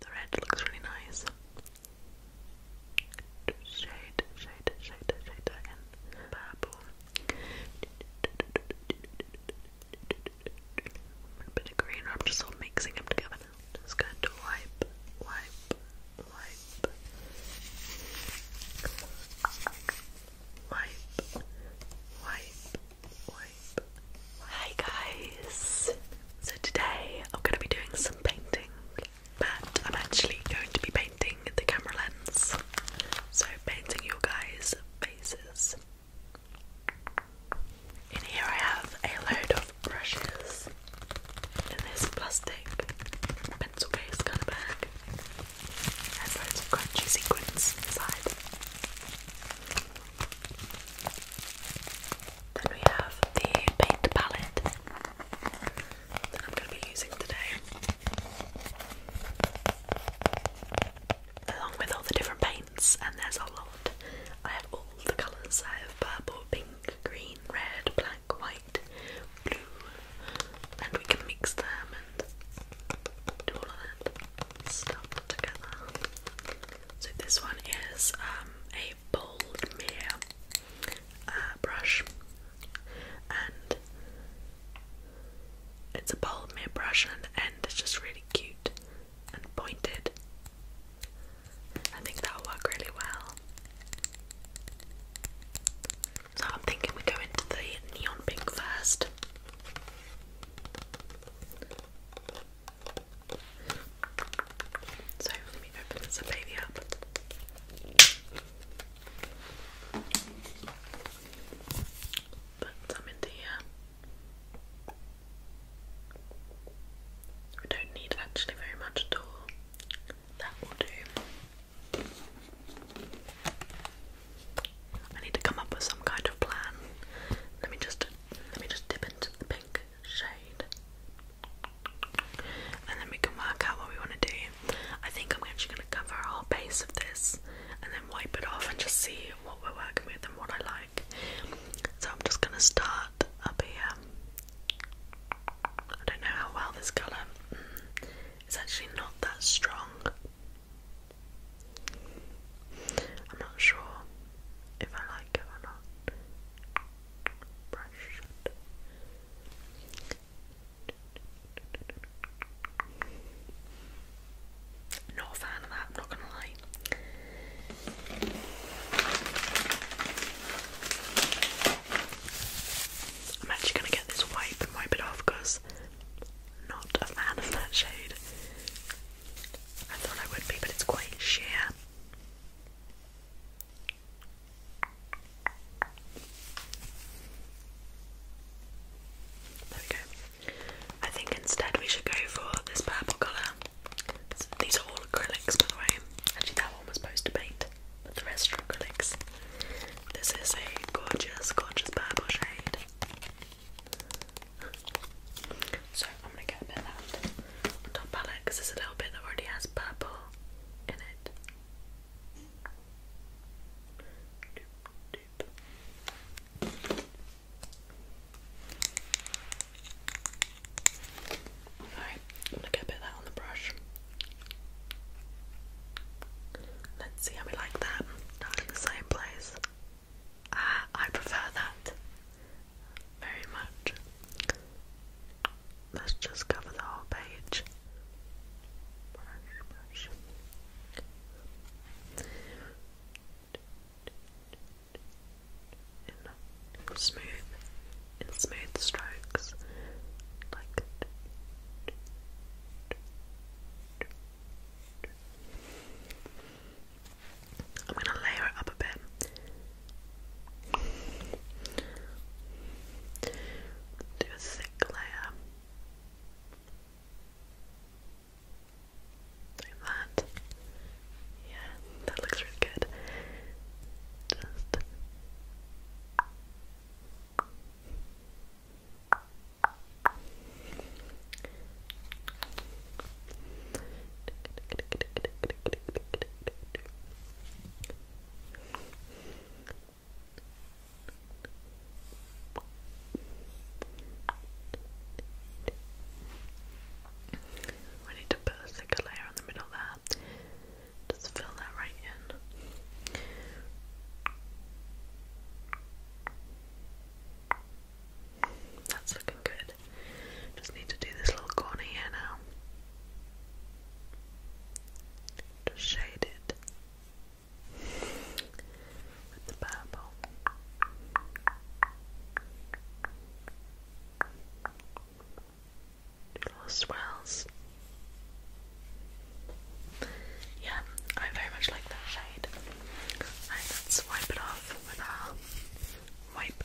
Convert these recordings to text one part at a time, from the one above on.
The red looks really nice. Shade, shade, shade, shade again. Purple. A bit of green. I'm just all mixing them together now. Just wipe, wipe, wipe, wipe, wipe, wipe, Hi guys! So today I'm going to be doing some painting, but I'm actually going to be painting the camera lens. So painting your guys' faces. In here I have a load of brushes in this plastic pencil case kind of bag. It has loads of crunchy sequins inside. Then we have the paint palette that I'm going to be using today. Along with all the different paints, and there's a lot. I have all the colours. I have purple, pink, green, red, black, white, blue, and we can mix them and do all of that stuff together. So this one is um, a bold mirror uh, brush, and it's a bold mirror brush, and the end is just really cute and pointed. I think that'll work really well. So I'm thinking we go into the neon pink first. So let me open this baby up. Put some into here. We don't need actually very much at all. That will do. I need to come up with some kind of plan. Let me just let me just dip into the pink shade and then we can work out what we want to do. I think I'm actually going to cover a whole base of this and then wipe it off and just see what we're working with and what I like. So I'm just going to start up here. I don't know how well this colour mm, it's actually not that strong. I'm not sure if I like it or not. Not a fan of that, I'm not gonna lie. I'm actually gonna get this wipe and wipe it off because not a fan of that shade. I thought I would be, but it's quite sheer. There I think instead we should go for this purple colour. These are all acrylics, by the way. Actually, that one was supposed to paint, but the rest are acrylics. This is a gorgeous, gorgeous purple shade. So I'm gonna get a bit of that top palette because there's a little bit that already has purple in it. Alright, I'm gonna get a bit of that on the brush. Let's see how we like that. Not in the same place. Ah, I prefer that very much. Let's just cover the whole page. smooth, smooth strokes, I'm gonna layer up a bit. Do a thick layer. Like that. Yeah, that looks really good. We need to put a thicker layer on the middle there. Just fill that right in. That's looking good. Just need to do this little corner here now. Just shade it with the purple. little swirls. Yeah, I very much like that shade. let's wipe it off with our wipe.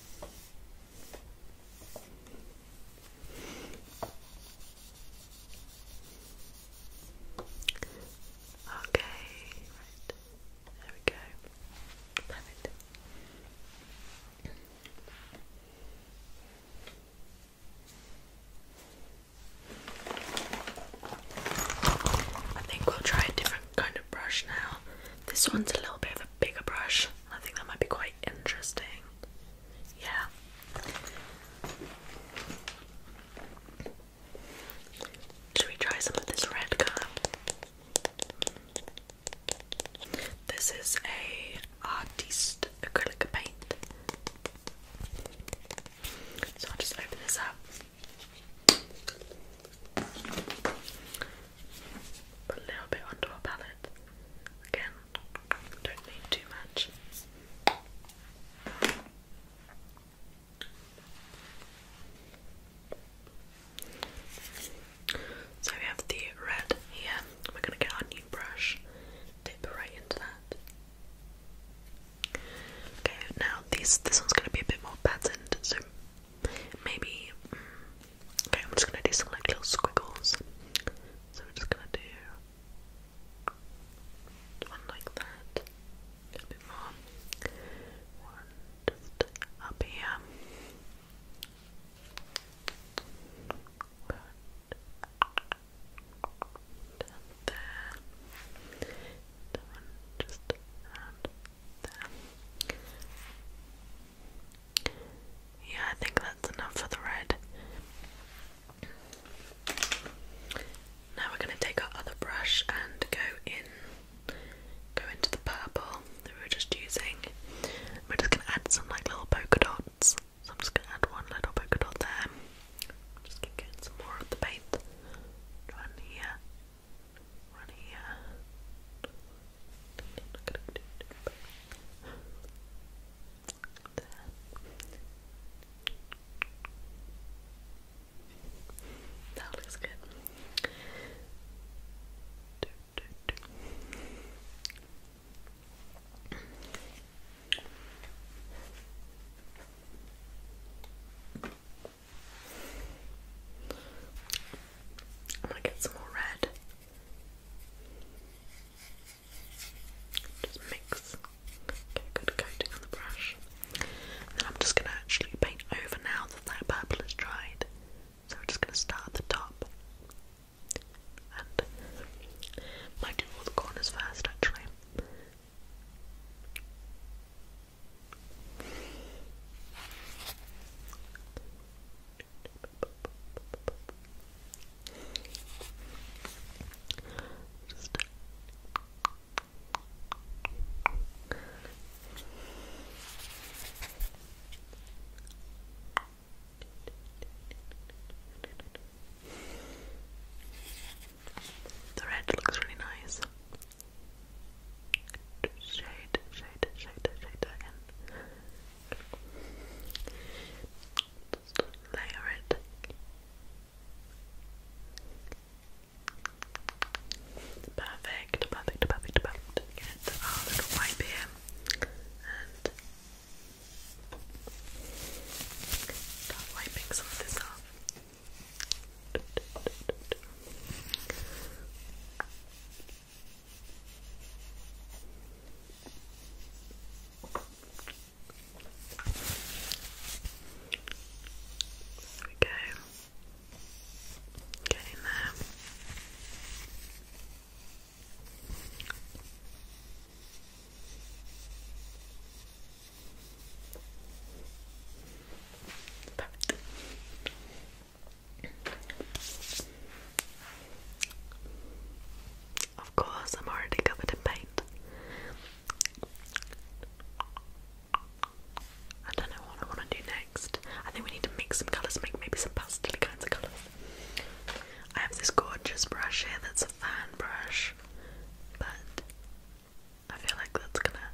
Okay, right. There we go. I think we'll try a different kind of brush now. This one's a little bit of a bigger brush. I think that might be quite interesting. Yeah. Should we try some of this red colour? This is a artiste acrylic paint. So I'll just open this up a little bit onto our palette. Again, don't need too much. So we have the red here. We're going to get our new brush, dip right into that. Okay, now these, this one's going to be a bit more patterned, so maybe. Mm, okay, I'm just gonna do some like little squiggles. So we're just gonna do one like that, a little One just up here. Good. Down there. one just around yeah, I think that's enough for the red. Now we're going to take our other brush and go in, go into the purple that we were just using. We're just going to add some like little polka dots. So I'm just going to add one little polka dot there. just get some more of the paint. One here, runny. That looks good. I'm gonna get some more red. Just mix, get a good coating on the brush. then I'm just gonna actually paint over now that that purple has dried. So we're just gonna start at the top. And might do all the corners first actually. Just the red looks really nice shade, shade, shade, shade again. layer it. Perfect, perfect, perfect, perfect. Get our little wipe here and start wiping some of this off. There we go. Get in there. Perfect. Of course, I'm already covered in paint. I don't know what I want to do next. I think we need to mix some colours, make maybe some pastel kinds of colours. I have this gorgeous brush here that's a fan brush, but I feel like that's gonna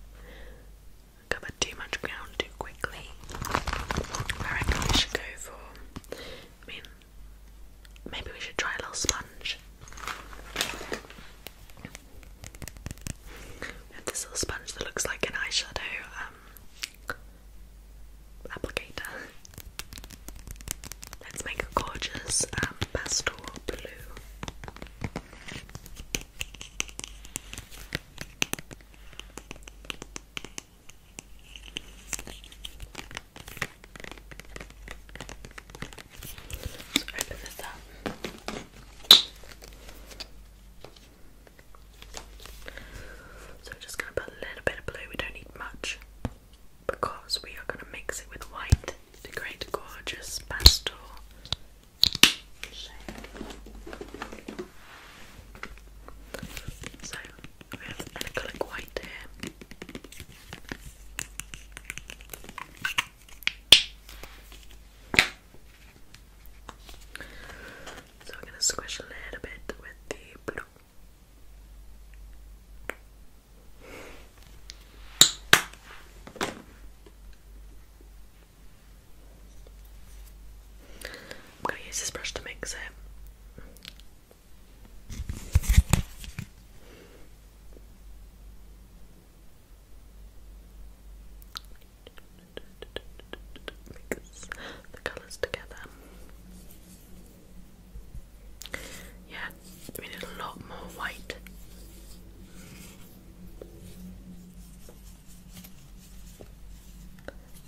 cover too much ground too quickly. I reckon we should go for. I mean, maybe we should try a little sponge. We have this little sponge that looks like an eyeshadow um, applicator. Let's make a gorgeous um, pastel blue. So we're just gonna put a little bit of blue, we don't need much because we are gonna mix it with white to create a gorgeous pastel so we have an acrylic white here. So we're going to squish a little bit with the blue. I'm going to use this brush to mix it. Mix the colours together. Yeah, we need a lot more white.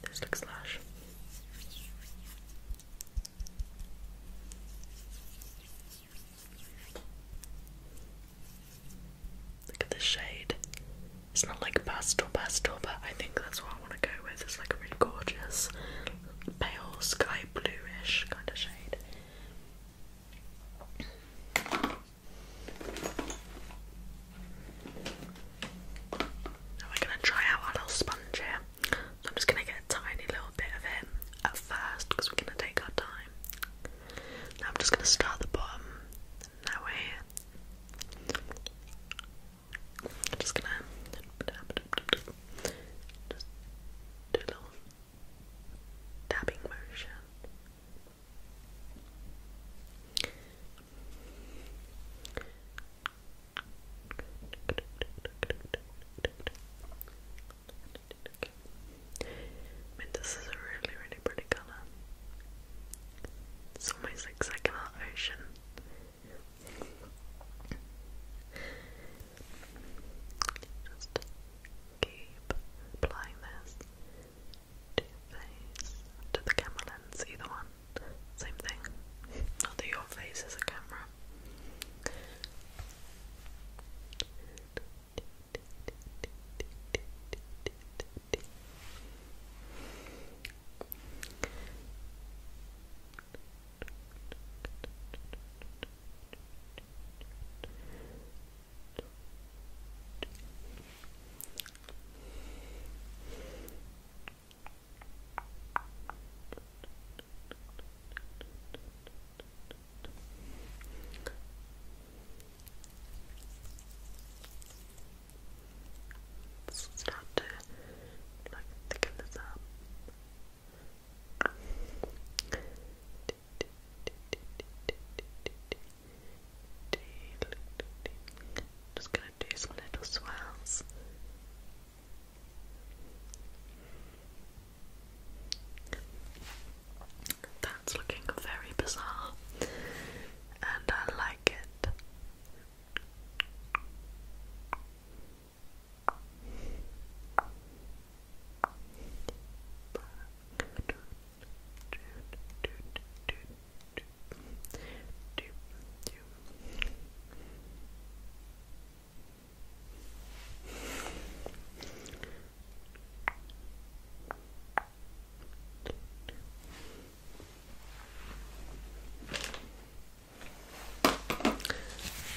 This looks lush. Look at the shade. It's not like pastel pastel, but I think that's what I want to go with. It's like a really gorgeous pale sky bluish kind of shade we're going to try out our little sponge here. I'm just going to get a tiny little bit of it at first because we're going to take our time. I'm just going to start the bottom. Now we I'm just going to do a dabbing motion. I mean, this is a really, really pretty colour. It's almost like second ocean. Just keep applying this to your face, to the camera lens, either one. Same thing. i your face as a camera. Let's start to thicken this up. Just go gonna do some little swirls. That's looking very bizarre, and I like it.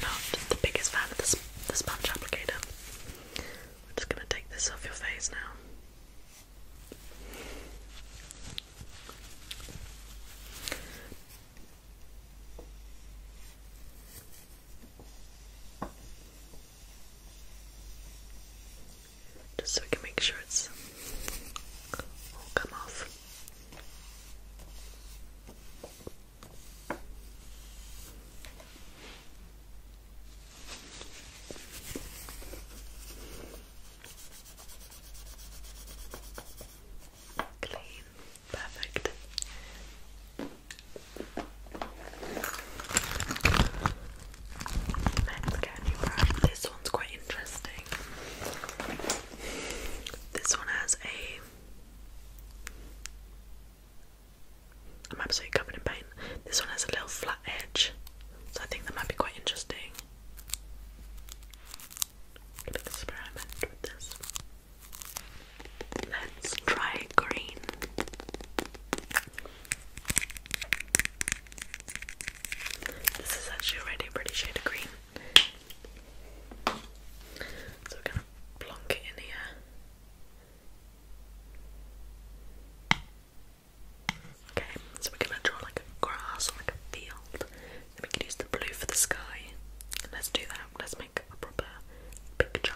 Not the biggest fan of this the sponge applicator. We're just gonna take this off your face now. Just so we can make sure it's all come off. Clean, perfect. Let's get brush. This one's quite interesting. This one has a. I'm absolutely covered in paint. This one has a little flat edge, so I think that might be quite interesting this. Let's try green. This is actually already a pretty shade of green. So we're gonna plonk it in here. Okay, so we're gonna draw like a grass or like a field. Then we can use the blue for the sky. Let's do that. Let's make a proper picture.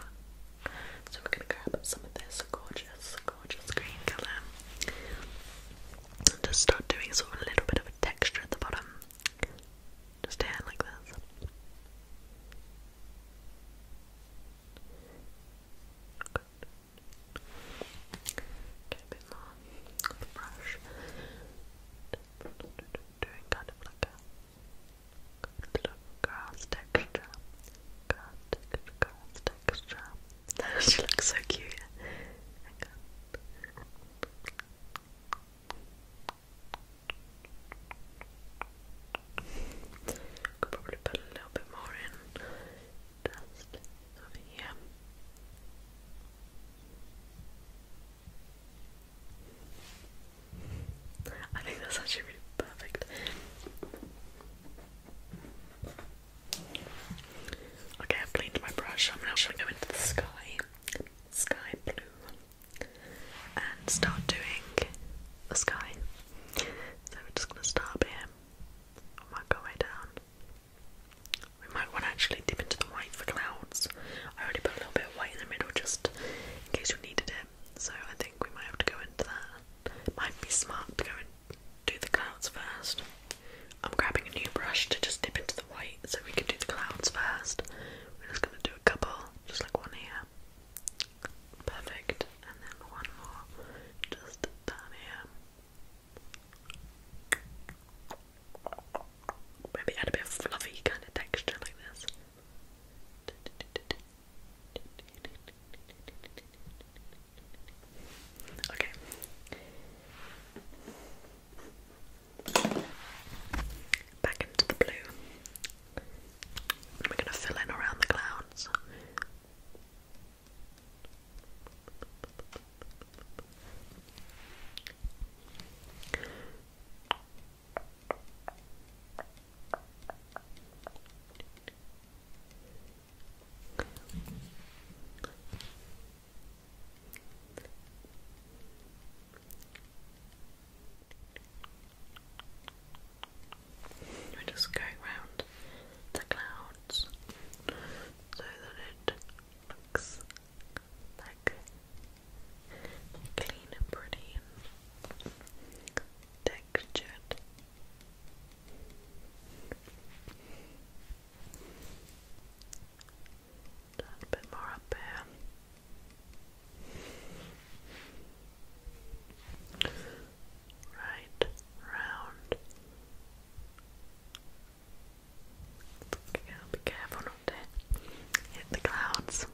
So we're gonna grab some of this gorgeous, gorgeous green colour. And just start doing sort of a little bit of texture at the bottom. Just here like this. Good with Doing kind of like a grass texture. Grass texture, looks so cute. Could probably put a little bit more in. Just I think that's actually really perfect. Okay, I've cleaned my brush. I'm now going to go into the sky, sky blue, and start doing the sky. So we're just going to start here. I might down. We might want to actually dip into the white for clouds. I already put a little bit of white in the middle just in case you needed it, so I think we might have to go into that. It might be smart to go and do the clouds first. I'm grabbing a new brush to just dip into the white so we can do the clouds first. We're just going to do a couple, just like one here. Perfect. And then one more just down here. Maybe add a bit of fluffy kind of texture like this. Okay. Back into the blue. We're going to fill in around the clouds. We're just going round the clouds so that it looks like clean and pretty and textured. A little bit more up here. Right, round, be careful not to hit the clouds.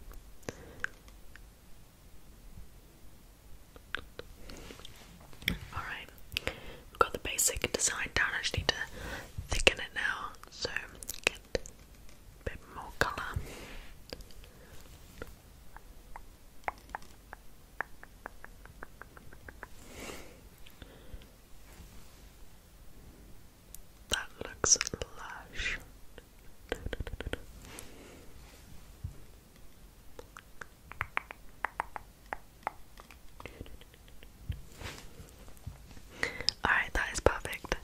Alright, we've got the basic design down. I just need to thicken it now so get a bit more colour. That looks lush. Alright, that is perfect.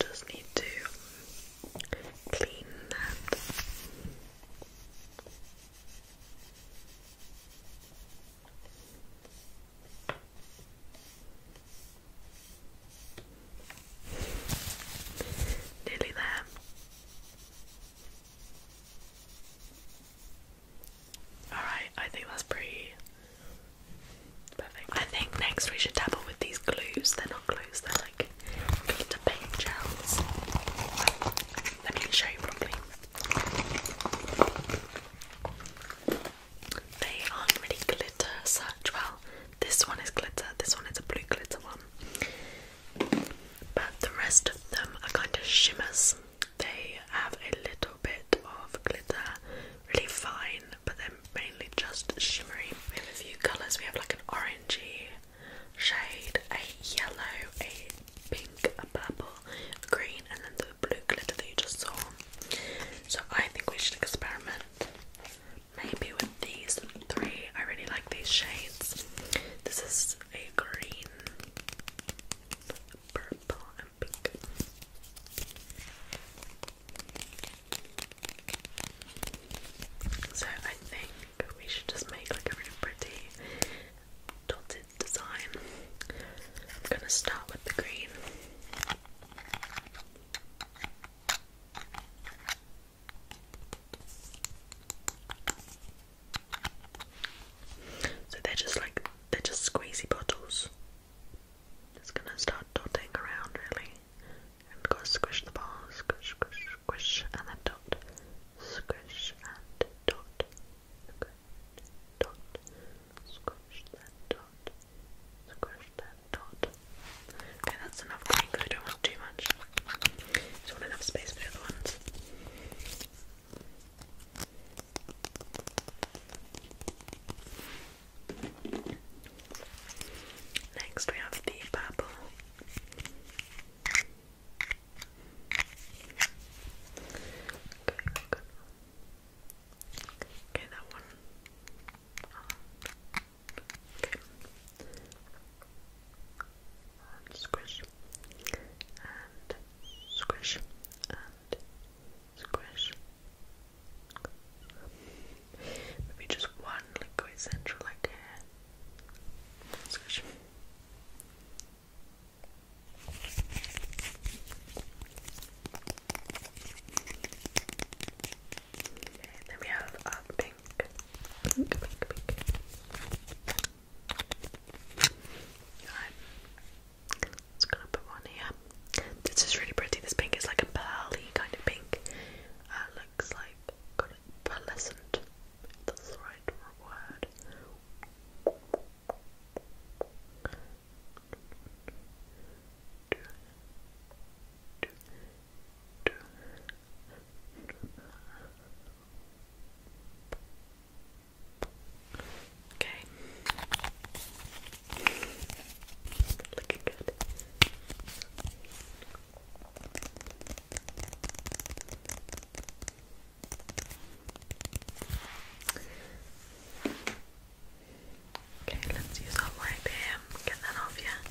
Just need to clean that. Nearly there. Alright, I think that's pretty perfect. I think next we should dabble with these glues. They're not glues, they're like glitter paint gels. Let me show you properly. They aren't really glitter such. Well, this one is glitter, this one is a blue glitter one. But the rest of them are kind of shimmers. They have a little bit of glitter, really fine, but they're mainly just shimmering. We have a few colours. We have like an orangey shade, a yellow, a pink, a purple, green, and then the blue glitter that you just saw. So I think we should experiment maybe with these three. I really like these shades. This is a green, purple, and pink. So I think we should just make like a really pretty dotted design. I'm gonna start with the green. So they're just like they're just squeezy bottles. Just gonna start dotting around really, and go squish the ball, squish, squish, squish, and then dot, squish and dot, squish, dot, squish then dot, squish then dot. Okay, that's enough green I don't want too much. just want enough space for the other ones. Next, we have the bubble. Okay, good. Okay, that one. okay. squish and squish and and squish. Maybe just one like central like here. Squish. Okay, then we have uh, pink. Pink, pink, pink. Alright. Just gonna one here. This is really pretty. This pink is like a pearly kind of pink. Uh, looks like got that's the right word. Okay. Looking good. Okay, let's use that light here. Get that off, yeah.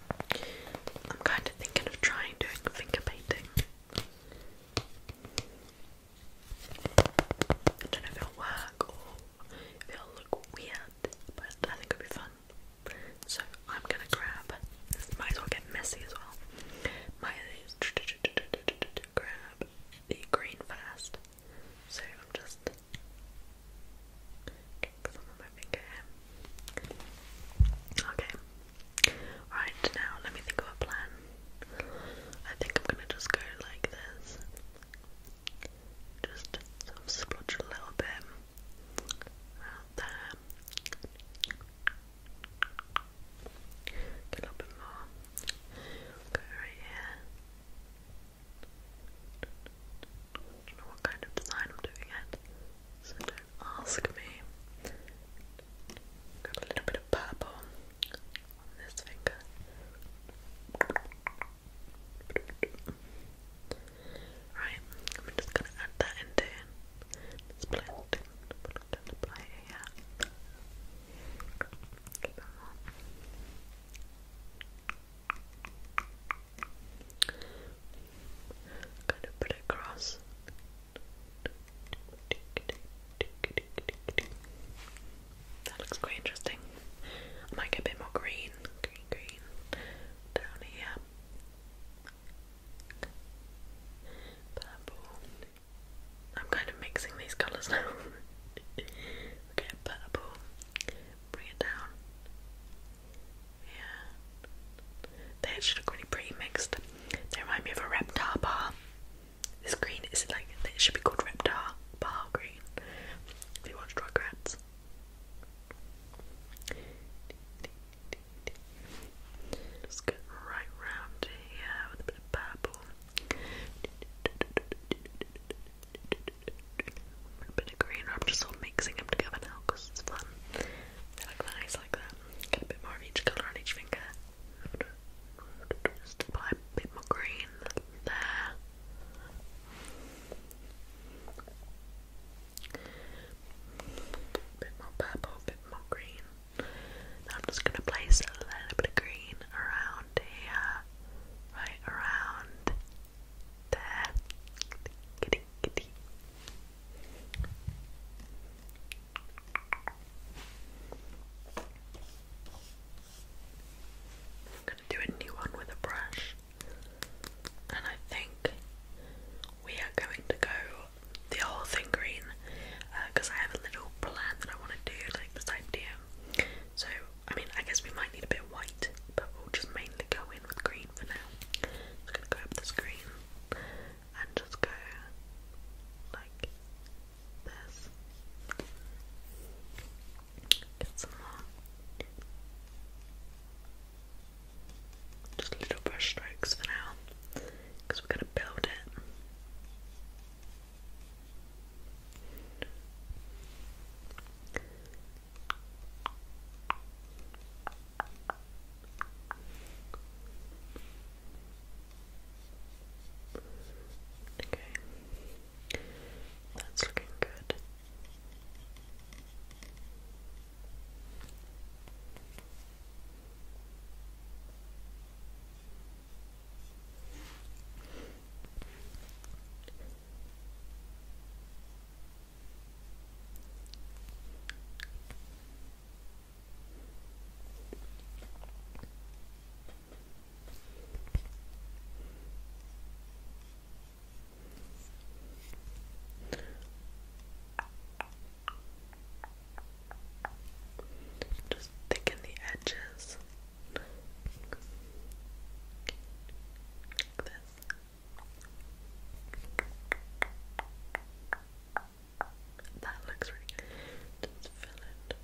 I'm kind of thinking of trying doing finger painting. I don't know if work or if look weird, but I think it'll be fun. So I'm gonna grab. Might as well get messy as well. Might as grab the green first. So I'm just getting some on my finger here. Okay, Right now, let me think of a plan. I think I'm gonna just go like this. Just sort a little bit out there. a little bit more. Go right here. what kind of design I'm doing yet, ask me. Grab a little bit of purple on this finger. Right, I'm just gonna add that into this blend. it here. it warm. Kind of put it across that looks quite interesting. I might get a bit more green, green, green down here. Purple. I'm kind of mixing these colours now. okay, purple. Bring it down. Yeah. They actually look really pretty mixed. They remind me of a Reptar bar. This green is like, it should be called Reptar bar green. If you watch Rugrats. Just get right round here with a bit of purple. A bit of green. I'm just all mixing them together now because it's fun nice like that. Get a bit more of each colour on each finger. Just apply a bit more green there. Bit more purple, bit more green. I'm just gonna place a little bit of green around here, right around there kitty. I'm gonna do a new one with a brush, and I think we are going to go the whole thing green because uh, I have a little plan that I want to do, like this idea. So, I mean, I guess we might need a bit white, but we'll just mainly go in with green for now. I'm gonna go up this green, and just go like this. Get some more. Just little brush strokes for now because we're going to build it. Okay, that's looking good. Just thicken the edges this. That looks really good. Just fill it.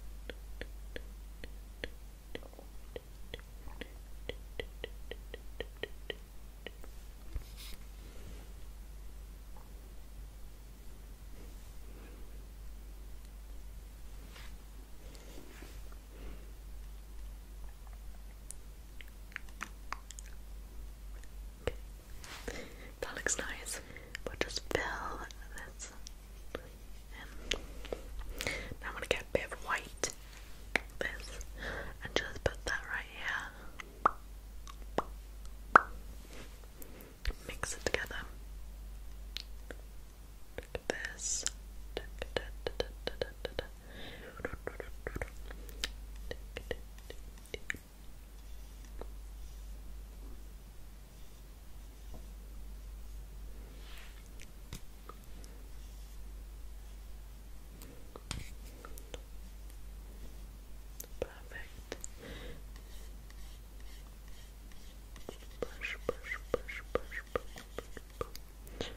That looks nice. But just fill this I'm gonna get a bit of white this and just put that right here. Mix it together. this. Perfect. Brush, brush, brush, brush, brush, brush.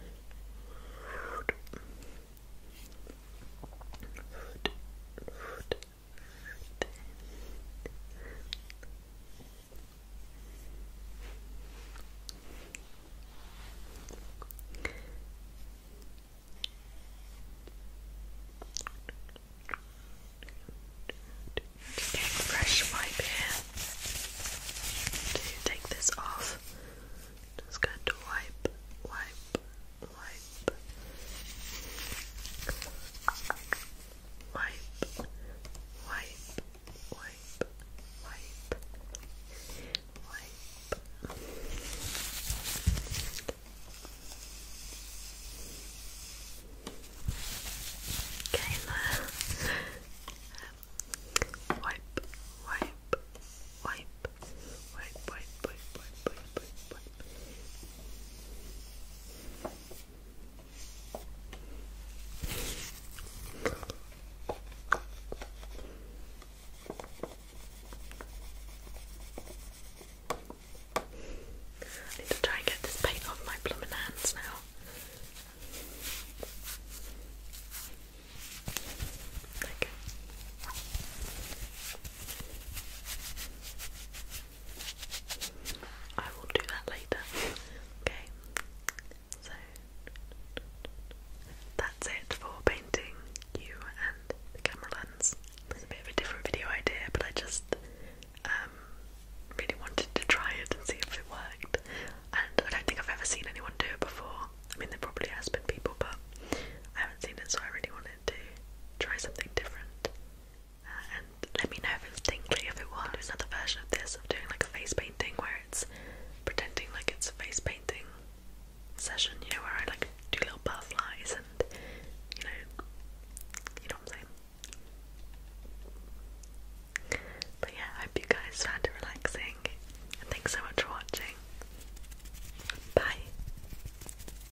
Food. Just getting a fresh wipe here to take this off. Just going to wipe, wipe, wipe wipe, wipe, wipe, wipe, wipe. Kayla, wipe, wipe, wipe, wipe, wipe, wipe, wipe, wipe, wipe. But I need to try and get this paint off my plumbing hands now. I will do that later. okay, so that's it for painting you and the camera lens. It's a bit of a different video idea, but I just um, really wanted to try it and see if it worked. And I don't think I've ever seen anyone do it before. I mean, there probably has been people, but I haven't seen it, so I really wanted to try something different and let me know if it's tingly. If it will, i another version of this of doing like a face painting where it's pretending like it's a face painting session, you know, where I like do little butterflies and you know, you know what I'm saying. But yeah, I hope you guys found it relaxing thanks so much for watching. Bye.